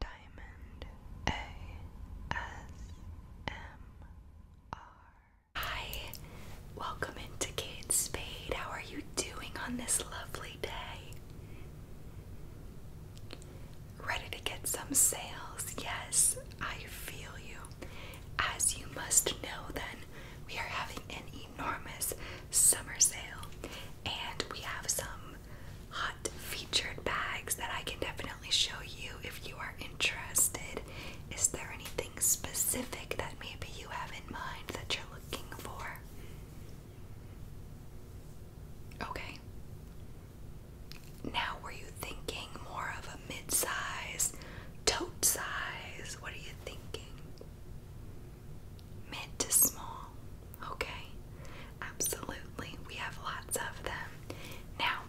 Diamond ASMR. Hi, welcome into Kate Spade. How are you doing on this lovely day? Ready to get some sales? Yes, I feel you. As you must know, then, we are having an enormous summer sale, and we have some hot featured bags that I can definitely show you if you are interested. Is there anything specific that maybe you have in mind that you're looking for? Okay. Now, were you thinking more of a mid tote size? What are you thinking? Mid to small. Okay? Absolutely. We have lots of them. Now,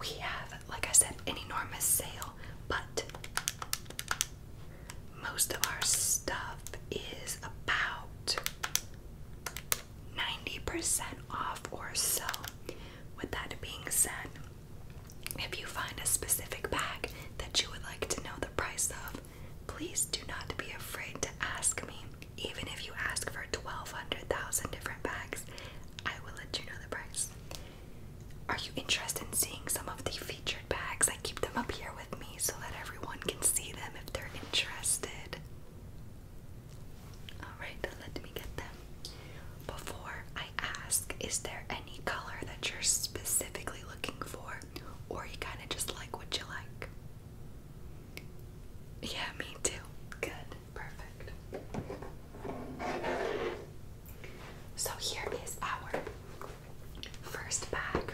we have, like I said, an enormous sale, but most of our stuff is about 90% off or so. With that being said, if you find a specific bag that you would like to know the price of, Please do not be afraid to ask me. Even if you ask for 1,200,000 different bags, I will let you know the price. Are you interested in seeing some of the featured bags? I keep them up here with me so that everyone can see them if they're interested. Alright, let me get them. Before I ask, is there any color that you're specifically looking for, or you kind of just like what you like? Yeah, me too. Good. Perfect. So here is our first bag.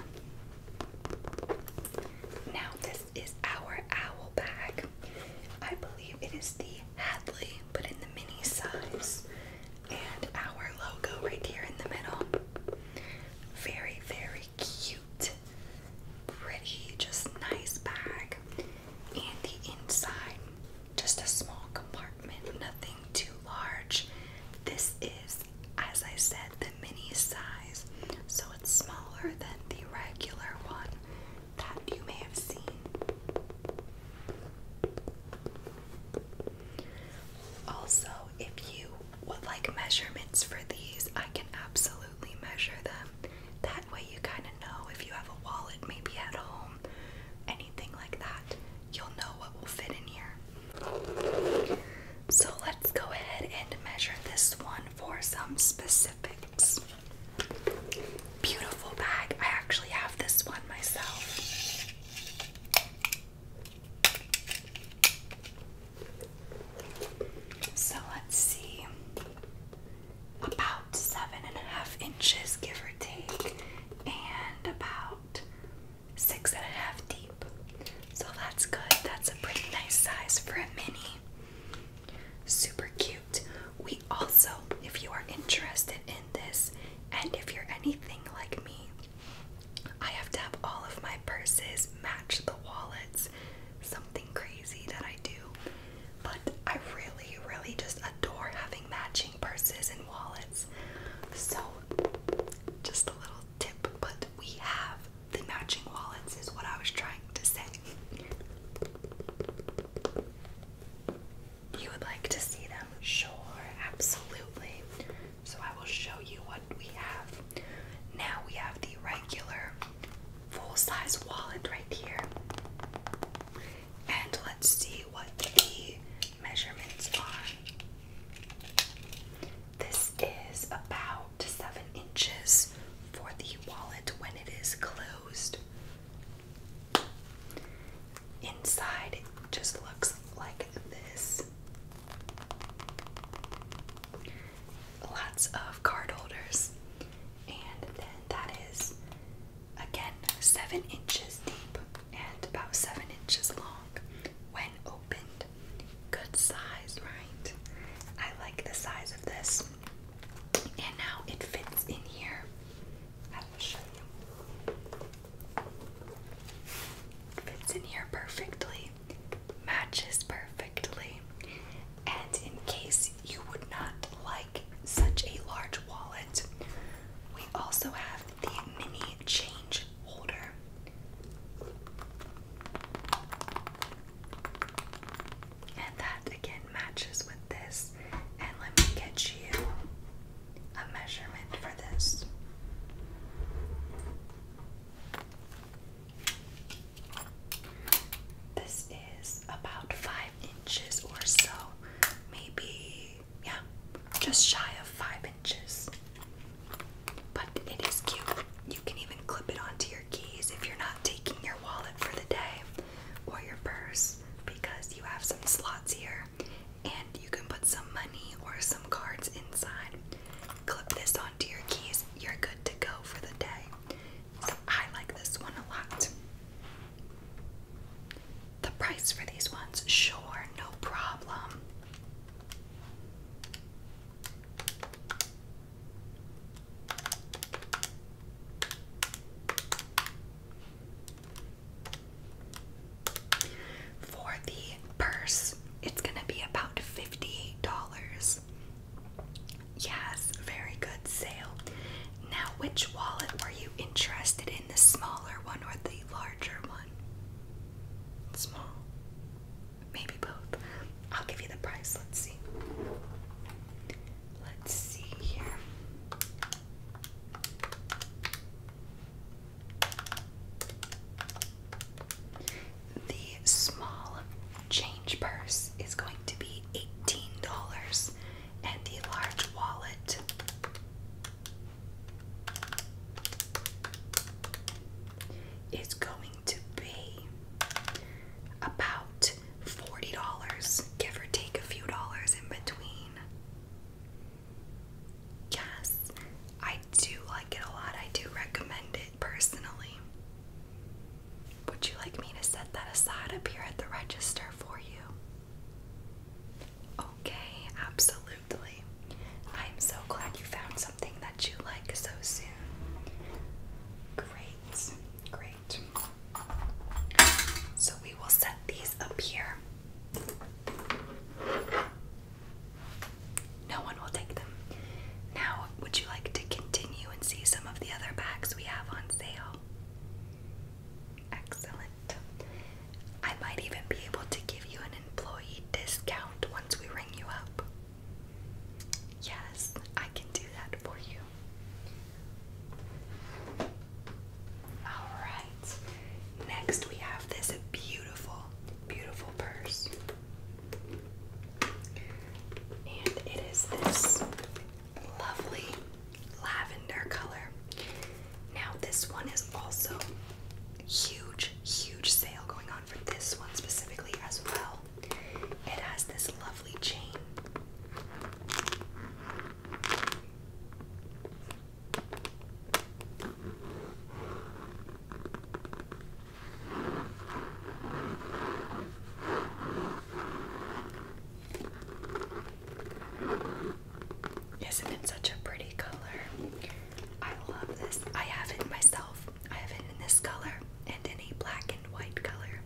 Now this is our owl bag. I believe it is the Hadley, but in the mini size. And our logo right here in the middle. Very, very cute pretty, just nice bag. And the inside, just a small compartment, nothing too large. This is, as I said, the mini size, so it's smaller than the regular one that you may have seen. Also, if you would like measurements for these, I can absolutely measure them. That way, you kind of know if you have a wallet maybe at home, anything like that, you'll know what will fit in here. So, let's go ahead and measure this one for some specifics. Beautiful bag. I actually have this one myself. So let's see. About seven and a half inches, give or take, and about six and a half deep. So that's good. That's a pretty nice size for a mini. Super cute. We also, if you are interested in this, and if you're anything like me, I have to have all of my purses match the wallets. Something crazy that I do. But I really, really just adore having matching purses and wallets. So, just a little tip, but we have the matching wallets, is what I was trying to say. You would like to see them? Sure, absolutely. So I will show you what we have. Now we have the regular full size wallet right here. And let's see what the measurements are. This is about seven inches for the wallet when it is closed. Inside it just looks like this lots of card holders. And then that is again seven inches deep and about seven inches long when opened. Good size, right? I like the size of this. And now it fits in here. I will show you. fits in here perfectly matches perfectly. And in case you would not like such a large wallet, we also have the mini change holder. And that again matches with this. And let me get you a measurement for this. This is about five inches or so, maybe, yeah, just shy of five inches. But it is cute. You can even clip it onto your keys if you're not taking your wallet for the day or your purse because you have some slots here and you can put some money or some cards inside clip this onto your keys, you're good to go for the day. I like this one a lot. The price for these ones, sure, no problem. For the purse, it's gonna be about fifty-eight dollars. Yes, very good sale. Now, which wallet were you interested in? The smaller one or the larger one? Small. Maybe both. I'll give you the price. Let's see. Let's see here. The small change purse is going to be $18 and the large wallet is going to be about $40, give or take a few dollars in between. Yes, I do like it a lot. I do recommend it personally. Would you like me to set that aside up here at the register for you? Okay, absolutely. I'm so glad you found something that you like so soon. Great, great. So we will set these up here. No one will take them. Now, would you like to continue and see some of the other bags we have on sale? Excellent. I might even be able to give you an employee discount once we ring you up. Yes, I can do that for you. Alright, next we have this beautiful, beautiful purse. And it is this lovely lavender color. Now, this one is also huge, huge sale going on for this one specifically as well. It has this lovely chain. Isn't it such a pretty color? I love this. I have it myself. I have it in this color and any black and white color.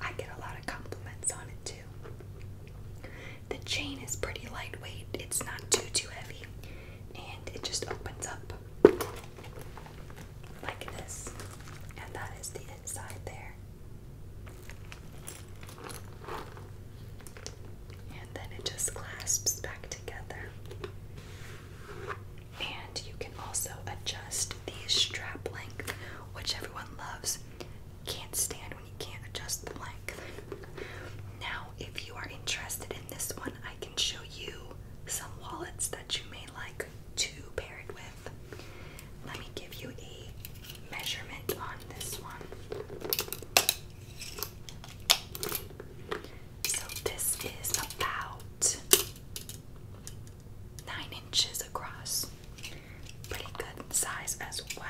I get a lot of compliments on it too. The chain is pretty lightweight. It's not too too heavy and it just opens up like this, and that is the inside there. And then it just clasps back together. And you can also adjust these strap length, which everyone loves. Can't stand when you can't adjust the length. Now, if you are interested in this one, I can can show you some wallets that you may like to pair it with. Let me give you a measurement on this one. So, this is about 9 inches across. Pretty good size as well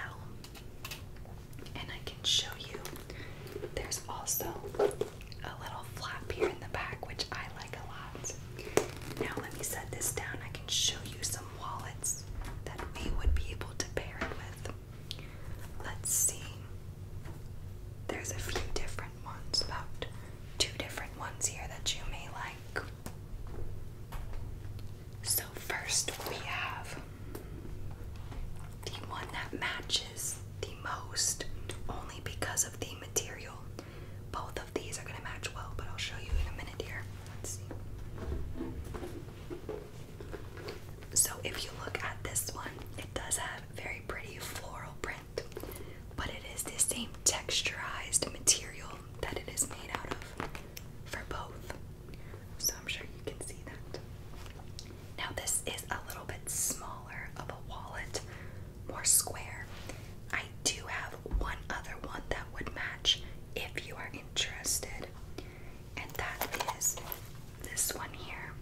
can show you. There's also a little flap here in the back, which I like a lot. Now, let me set this down. I can show you some wallets that we would be able to pair it with. Let's see. There's a few different ones, about two different ones here that you may like. So, first we have the one that matches the most only because of the material. Both of these are going to match well, but I'll show you in a minute here. So, if you look at this one, it does have very pretty floral print, but it is the same texturized material that it is made out of for both. So, I'm sure you can see that. Now, this is a little bit smaller of a wallet, more square. I do have one other one that would match if you are interested, and that is this one here.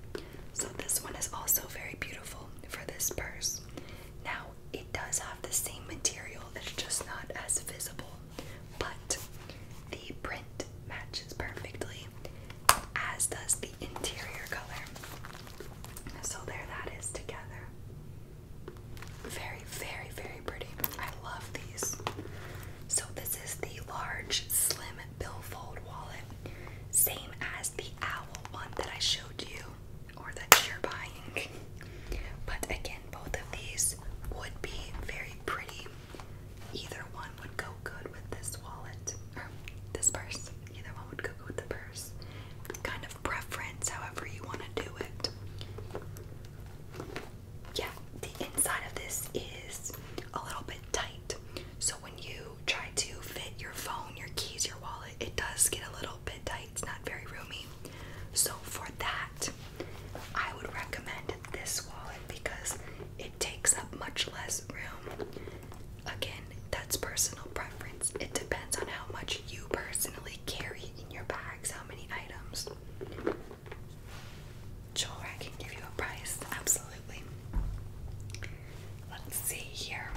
So, this one is also very beautiful for this purse. Now, it does have the same material, it's just not as visible, but the print matches perfectly as does the interior color. So there that is together. Very, very, very pretty. I love these. So this is the large slim billfold wallet. Same as the owl one that I showed you or that you're buying. But again, both of these would be very pretty Either one would go good with this wallet or this purse. Either one would go good with the purse. Kind of preference, however you want to do it. Yeah, the inside of this is a little bit tight. So when you try to fit your phone, your keys, your wallet, it does get a little bit tight. It's not very roomy. So for that, I would recommend this wallet because it takes up much less room. Again, that's personal preference. It depends on how much you personally carry in your bags, how many items. Sure, I can give you a price, absolutely. Let's see here.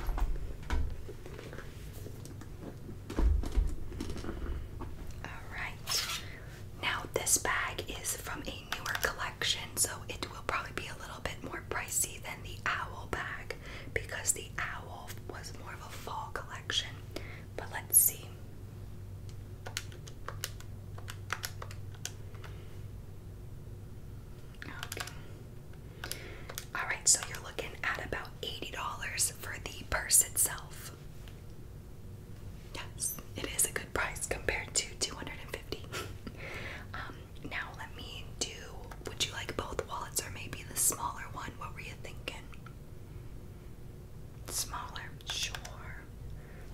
Alright, now this bag is from newer collection, so it will probably be a little bit more pricey than the owl bag because the owl was more of a fall collection. But let's see. Alright, so you're looking at about $80 for the purse itself. Yes, it is a good price compared to 250 um, now let me do. Would you like both wallets or maybe the smaller one? What were you thinking? Smaller, sure.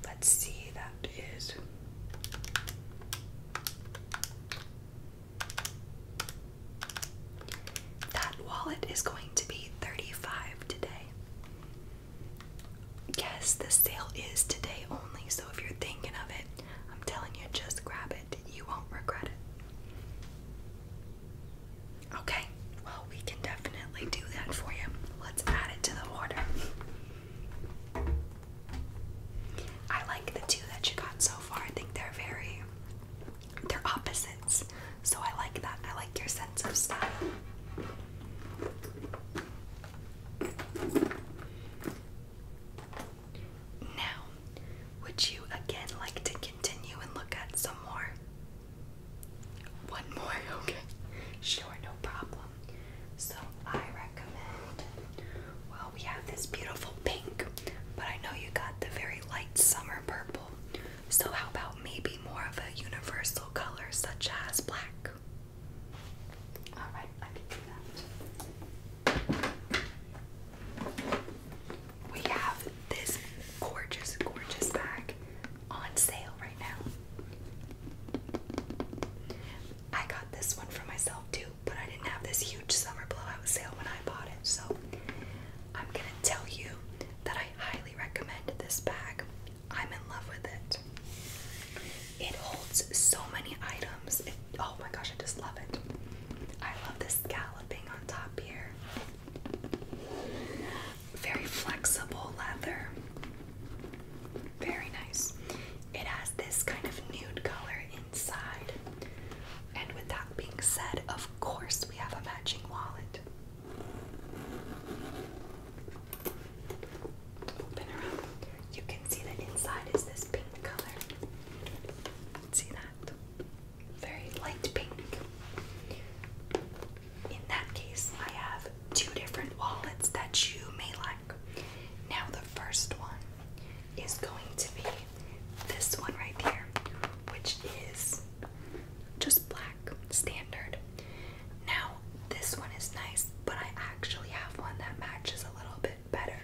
Let's see. That is. That wallet is going to be 35 today. Yes, the sale is today only, so if you're thinking of it, I'm telling you, just grab it. You won't regret it. Okay, well, we can definitely do that for you. Let's add it to the order. I like the two that you got so far. I think they're very, they're opposites. So I like that. I like your sense of style. Now, would you again like to continue and look at some more? One more, okay. Sure, no problem. So, I recommend, well, we have this beautiful pink, but I know you got the very light summer purple. So, how about maybe more of a universal color such as black? All right, I can do that. We have this gorgeous, gorgeous bag on sale right now. I got this one for myself too, but I didn't have this huge summer blowout sale when I bought it, so I'm gonna tell you that I highly recommend this bag. I'm in love with it. It holds so many items. oh my gosh, I just love it. I love the scalloping on top here. Very flexible leather. Very nice. It has this kind of nude color inside. And with that being said, of course, we have a matching wallet open her up. You can see the inside is this pink color. See that? Very light pink. In that case, I have two different wallets that you may like. Now, the first one is going to be this one right here, which is just black, standard. Now, this one is nice, but I actually have one that matches a little bit better.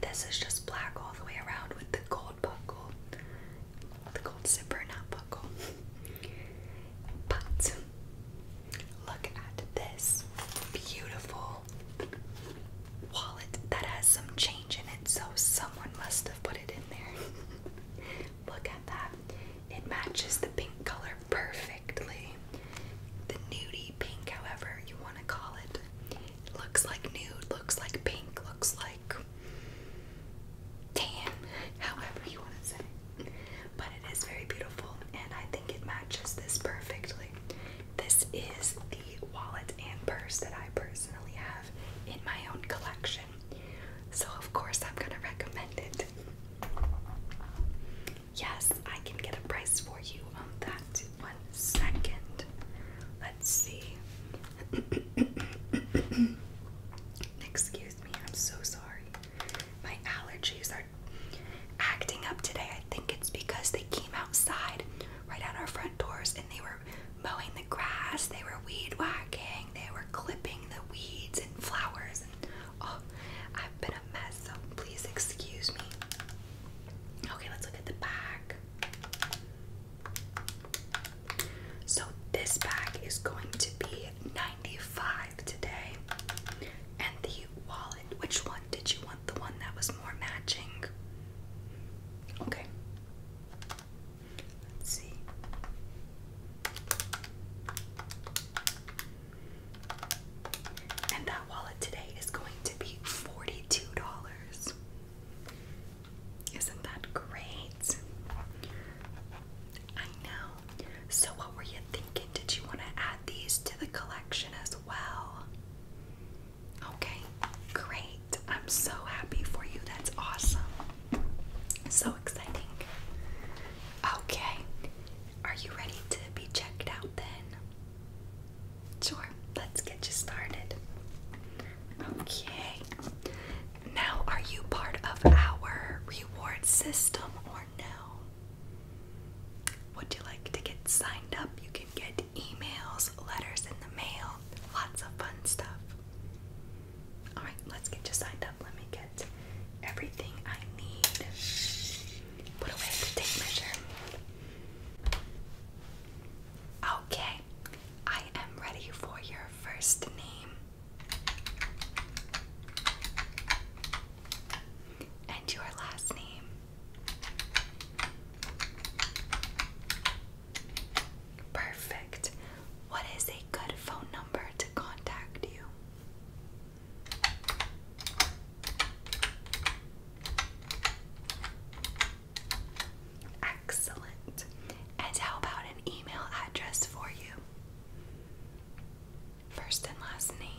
This is just black all the way around with the gold buckle. The gold zipper, not buckle. But look at this beautiful wallet that has some change in it, so someone must have put it in there. look at that. It matches the pink color perfectly. The nudie pink, however you want to call it. It looks like nude, looks like pink, looks like tan, however you want to say. But it is very beautiful and I think it matches this perfectly. This is the wallet and purse that I personally have in my own collection. So, of course, I'm going to recommend it. Yes, I can get a price for you on that. One second. Let's see. Excuse me, I'm so sorry. My allergies are acting up today. I think it's because they came outside right at our front doors and they were mowing the grass, they were weed whacking, they were clipping the weeds and flowers Oh, I've been a mess, so please excuse me. Okay, let's look at the back. So, this bag is going to be 95 today. And the wallet, which one did you want? The one that was more matching? Okay. Let's see. And that wallet today is going to be $42. Isn't that great? I know. So, what were you thinking? Did you want to add these to the collection as well? Okay, great. I'm so happy for you. That's awesome. So exciting. Okay, are you ready to be checked out then? Sure, let's get you started. Okay. Now, are you part of our reward system or no? Would you like to get signed up? You can get emails, letters in the mail, lots of fun stuff. Alright, let's get you signed up. Let me get everything I need. Put away the measure. Okay, I am ready for your first name. And your last name. Perfect. What is a good phone number to contact you? Excellent. And how about an email address for you? First and last name.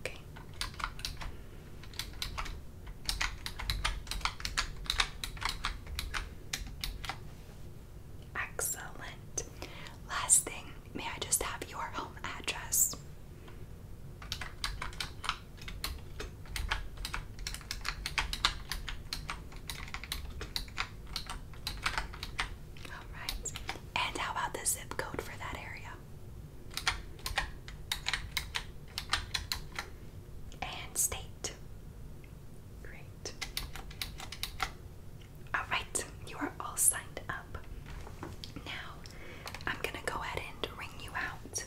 Okay. Excellent. Last thing, may I just have your home address? All right. And how about the zip code for that area? and state. Great. Alright, you are all signed up. Now, I'm gonna go ahead and ring you out.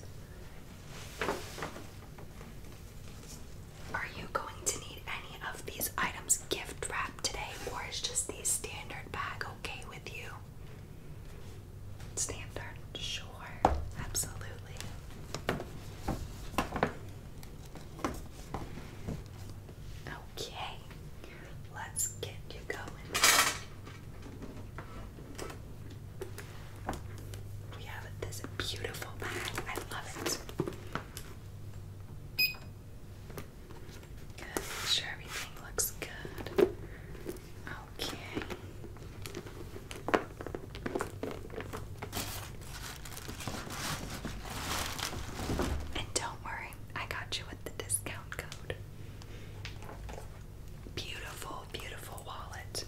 Are you going to need any of these items gift wrapped today, or is just the standard bag okay with you? standard. Sure, absolutely. Okay, let's get you going. We have this beautiful bag. I love it. Good. Make sure everything looks good. And don't worry, I got you with the discount code. Beautiful, beautiful wallet.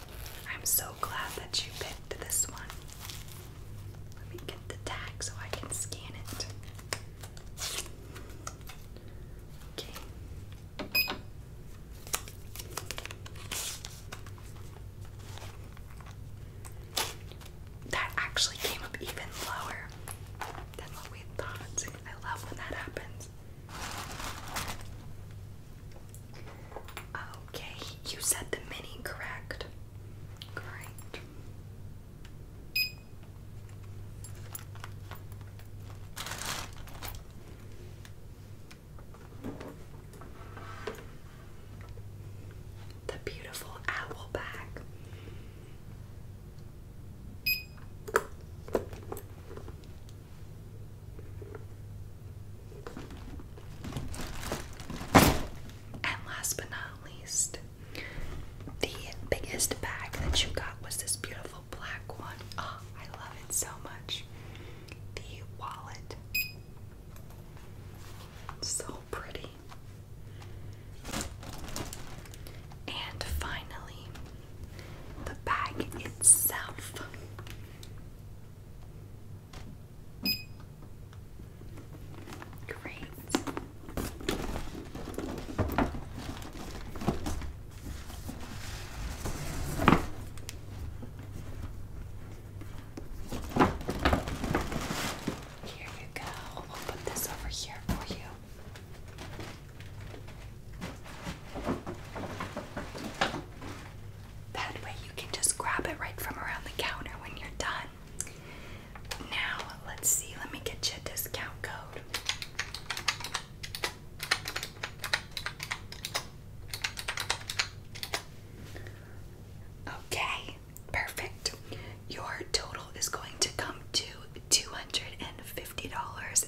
I'm so glad that you picked this one. Let me get the tag so I can scan it. Okay. That actually came up even lower than what we thought. I love when that happens. Okay, you said the mini, correct? Great. The beautiful owl bag. And last but not least, the biggest bag that you got was this beautiful black one. Oh, I love it so much the wallet. So pretty. And finally, the bag itself. Great. Here you go. I'll put this over here for you. That way you can just grab it right from around the counter when you're done. Now, let's see. Let me get you a discount code. Okay, perfect. Your total is going to come to $250.28.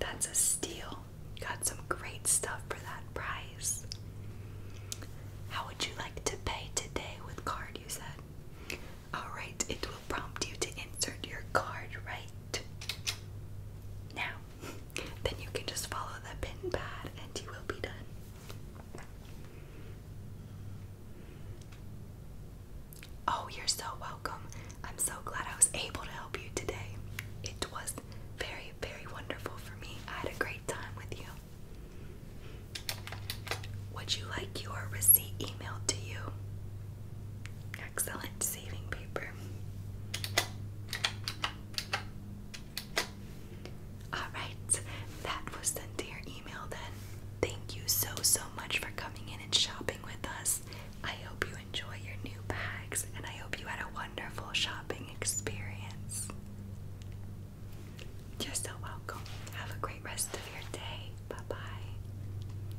That's a steal. Got some great stuff for that price. How would you like to pay today with card? You said. Alright, it will prompt you to insert your card right now, then you can just follow the pin pad and you will be done. Oh, you're so welcome. I'm so glad I was able to help you today. It was very, very wonderful for me. I had a great time with you. Would you like your receipt emailed to you? excellent saving paper. Alright, that was sent to email then. Thank you so, so much for coming in and shopping with us. I hope you enjoy your new bags and I hope you had a wonderful shopping experience. You're so welcome. Have a great rest of your day. Bye bye.